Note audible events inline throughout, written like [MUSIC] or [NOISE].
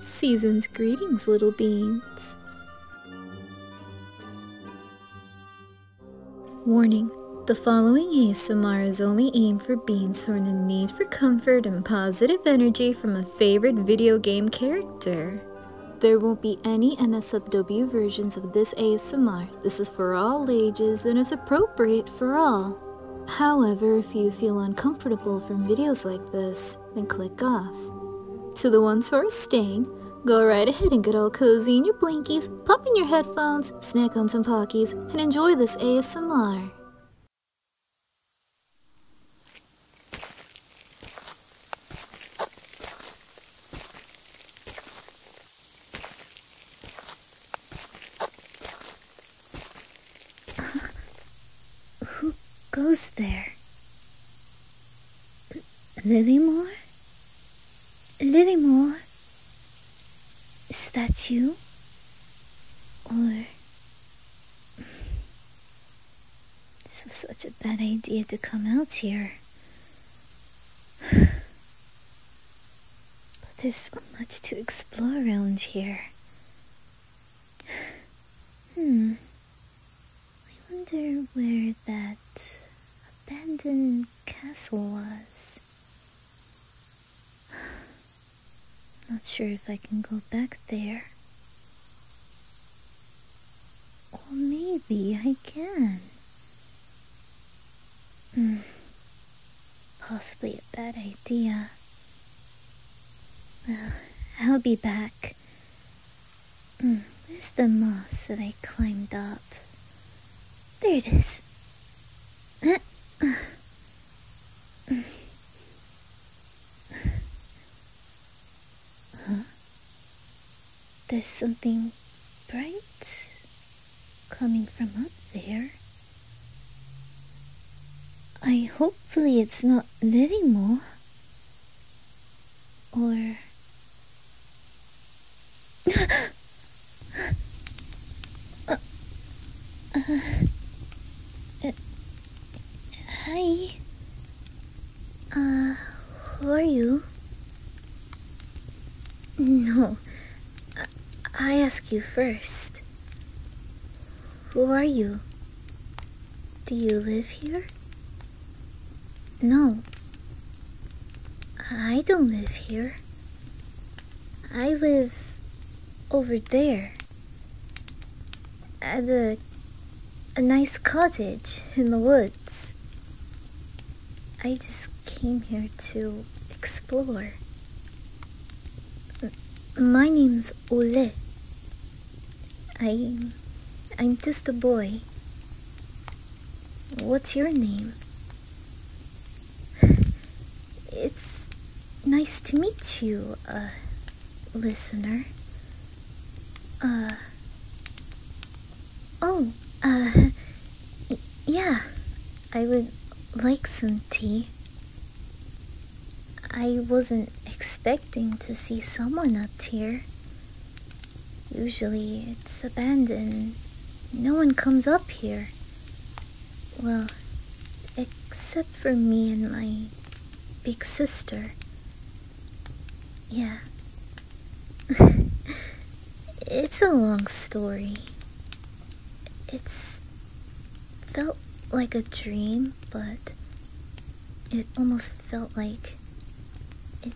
Season's greetings, little beans. Warning The following ASMR is only aimed for beans who are in need for comfort and positive energy from a favorite video game character. There won't be any NSFW versions of this ASMR. This is for all ages and is appropriate for all. However, if you feel uncomfortable from videos like this, then click off. To the ones who are staying, go right ahead and get all cozy in your blankies, pop in your headphones, snack on some Pockies, and enjoy this ASMR who goes there? Lilymore? Lilymore? Is that you? Or... This was such a bad idea to come out here. But there's so much to explore around here. [SIGHS] Hmm. I wonder where that abandoned castle was. [SIGHS] Not sure if I can go back there. Or maybe I can. Hmm. Possibly a bad idea. Well, I'll be back. Mm, where's the moss that I climbed up? There it is. Huh? There's something bright coming from up there. I hopefully it's not letting more. Or... [LAUGHS] hi. Uh, who are you? No, I ask you first. Who are you? Do you live here? No. I don't live here. I live over there. At a, a nice cottage in the woods. I just came here to explore. My name's Ole. I. I'm just a boy. What's your name? It's nice to meet you, uh, listener. Uh. Oh, uh. [LAUGHS] Yeah, I would like some tea. I wasn't expecting to see someone up here. Usually it's abandoned. No one comes up here. Well, except for me and my big sister. Yeah. [LAUGHS] it's a long story. It's felt like a dream, but it almost felt like it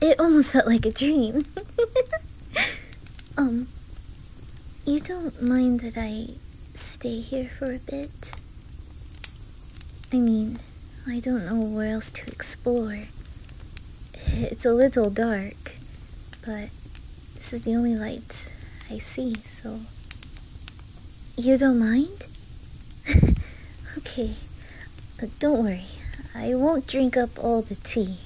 it almost felt like a dream. [LAUGHS] um you don't mind that I stay here for a bit? I mean, I don't know where else to explore. It's a little dark, but this is the only light I see, so. You don't mind? [LAUGHS] okay, But don't worry. I won't drink up all the tea,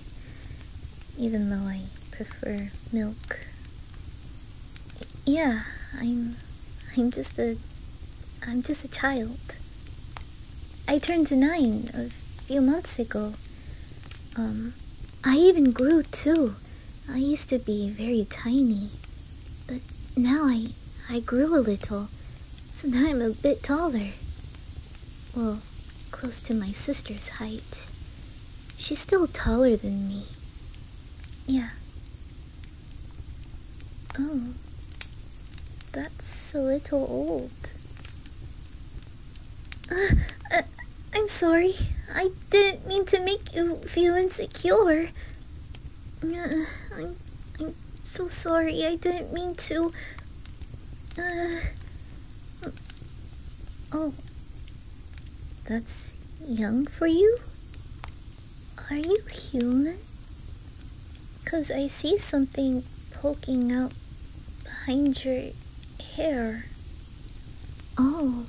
even though I prefer milk. Yeah, I'm. I'm just a. I'm just a child. I turned nine a few months ago. Um, I even grew too. I used to be very tiny, but now I I grew a little, so now I'm a bit taller. Well, close to my sister's height. She's still taller than me. Yeah. Oh. That's a little old. [LAUGHS] Uh, I'm sorry. I didn't mean to make you feel insecure. Uh, I'm, so sorry. I didn't mean to. Uh, oh. That's young for you? Are you human? Because I see something poking out behind your hair. Oh,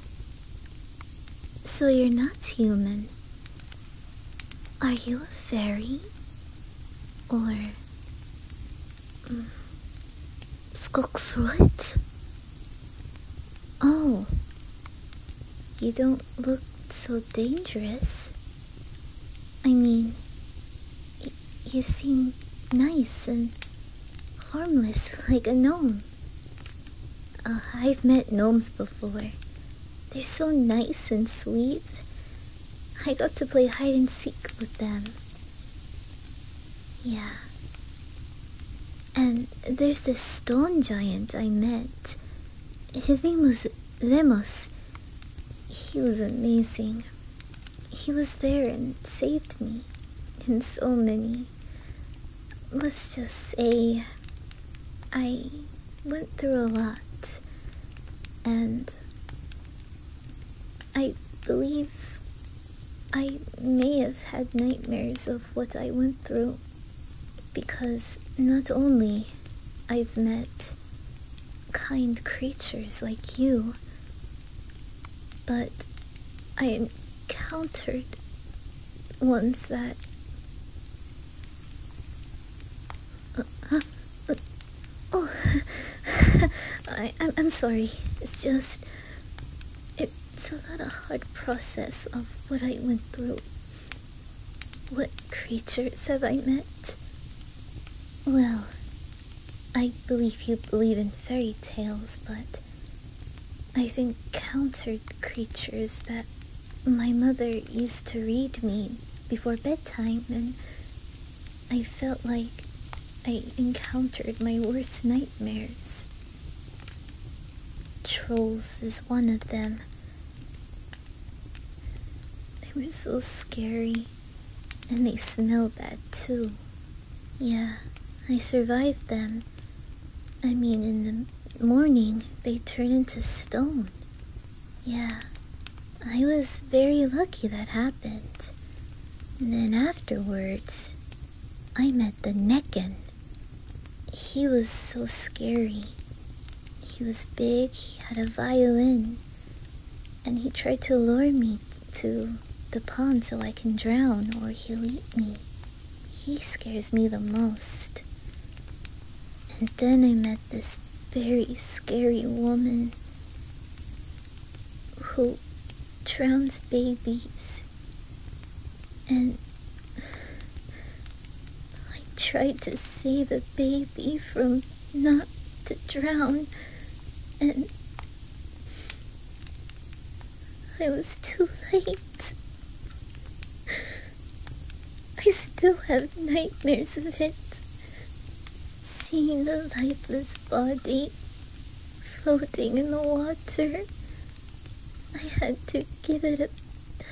so you're not human. Are you a fairy? Or. Mm, Skogsrut? Oh, you don't look so dangerous. I mean, you seem nice and harmless [LAUGHS] like a gnome. Uh, I've met gnomes before. They're so nice and sweet. I got to play hide and seek with them. Yeah. And there's this stone giant I met. His name was Lemos. He was amazing. He was there and saved me in so many, let's just say I went through a lot, and I believe I may have had nightmares of what I went through because not only I've met kind creatures like you, but I encountered ones that. Uh, uh, oh, [LAUGHS] I'm, I'm sorry. It's just. It's a lot of hard process of what I went through. What creatures have I met? Well, I believe you believe in fairy tales, but I've encountered creatures that my mother used to read me before bedtime, and I felt like I encountered my worst nightmares. Trolls is one of them. They were so scary, and they smell bad too. Yeah, I survived them. I mean, in the morning, they turn into stone. Yeah, I was very lucky that happened. And then afterwards, I met the Necken. He was so scary. He was big, he had a violin, and he tried to lure me to the pond so I can drown or he'll eat me. He scares me the most. And then I met this very scary woman who drowns babies. And I tried to save a baby from not to drown. And I was too late. I still have nightmares of it. Seeing the lifeless body floating in the water. I had to give it a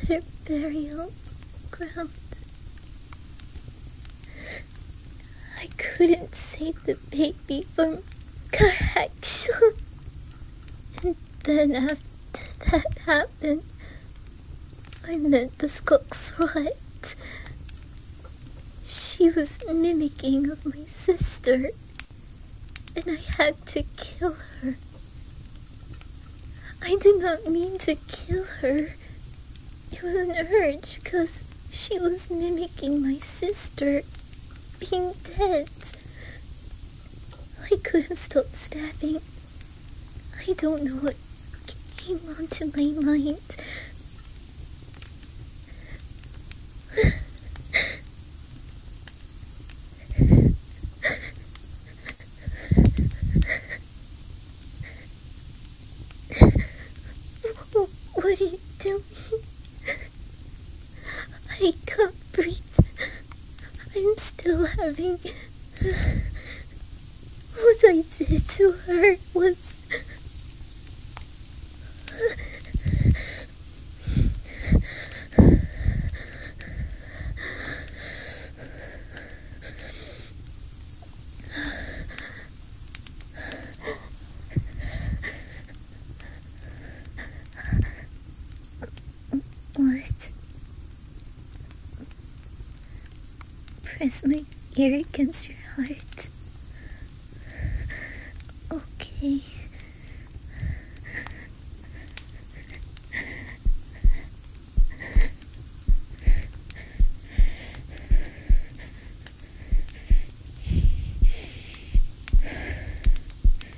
better burial ground. I couldn't save the baby from Karakshul. And then after that happened, I met the skunk's right. She was mimicking my sister, and I had to kill her. I did not mean to kill her. It was an urge, because she was mimicking my sister being dead. I couldn't stop stabbing. I don't know what came onto my mind. [LAUGHS] what are you doing? I can't breathe. I'm still having... What I did to her was... What? Press my ear against your heart. Okay.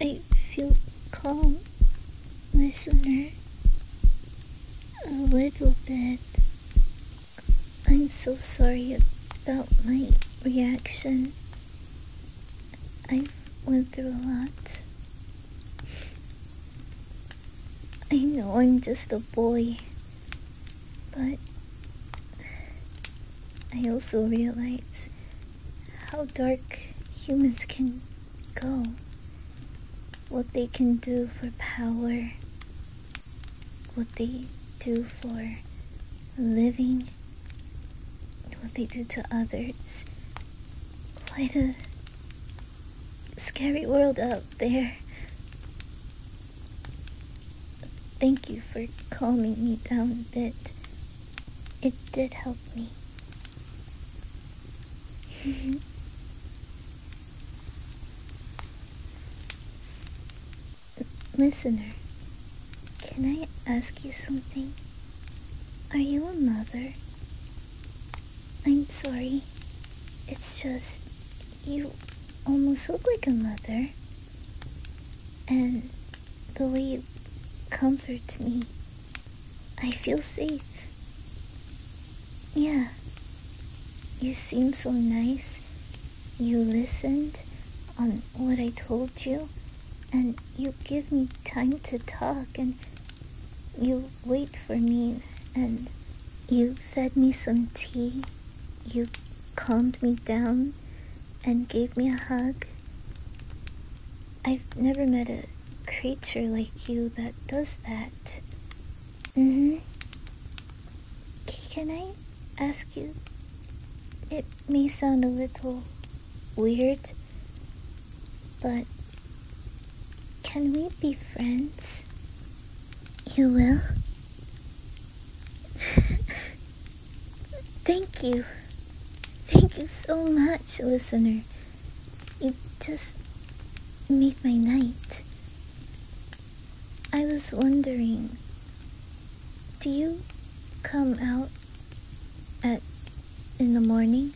I feel calm, listener. A little bit. I'm so sorry about my reaction. I went through a lot. I know I'm just a boy, but I also realize how dark humans can go, what they can do for power, what they do for living, what they do to others. Quite a scary world out there. Thank you for calming me down a bit. It did help me. [LAUGHS] Listener, can I ask you something? Are you a mother? I'm sorry. It's just you almost look like a mother. And the way you comfort me. I feel safe. Yeah. You seem so nice. You listened on what I told you, and you give me time to talk, and you wait for me, and you fed me some tea. You calmed me down and gave me a hug. I've never met a creature like you that does that. Mm-hmm. Can I ask you? It may sound a little weird, but can we be friends? You will? [LAUGHS] Thank you. Thank you so much, listener. You just make my night. I was wondering, do you come out at in the morning?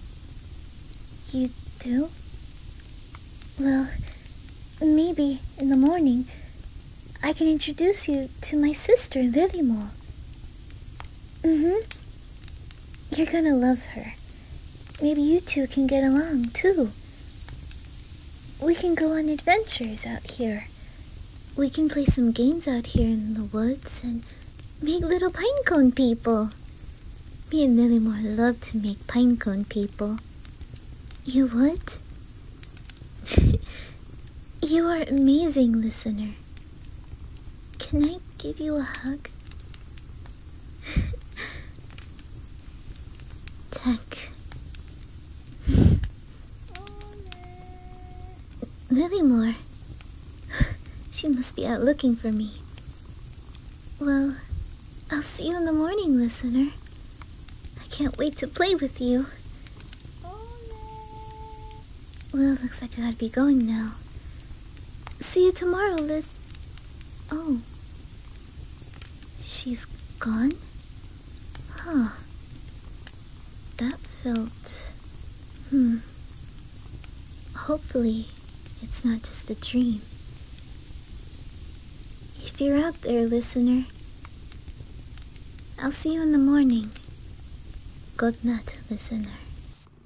You do? Well, maybe in the morning I can introduce you to my sister, Lilymore. Mm-hmm. You're gonna love her. Maybe you two can get along, too. We can go on adventures out here. We can play some games out here in the woods and make little pinecone people. Me and Lilymore love to make pinecone people. You would? [LAUGHS] you are amazing, listener. Can I give you a hug? Tech. Lilymore. she must be out looking for me. Well, I'll see you in the morning, listener. I can't wait to play with you. Well, looks like I gotta be going now. See you tomorrow, Liz. Oh. She's gone? Huh. That felt... Hmm. Hopefully, it's not just a dream. If you're out there, listener, I'll see you in the morning. Good night, listener.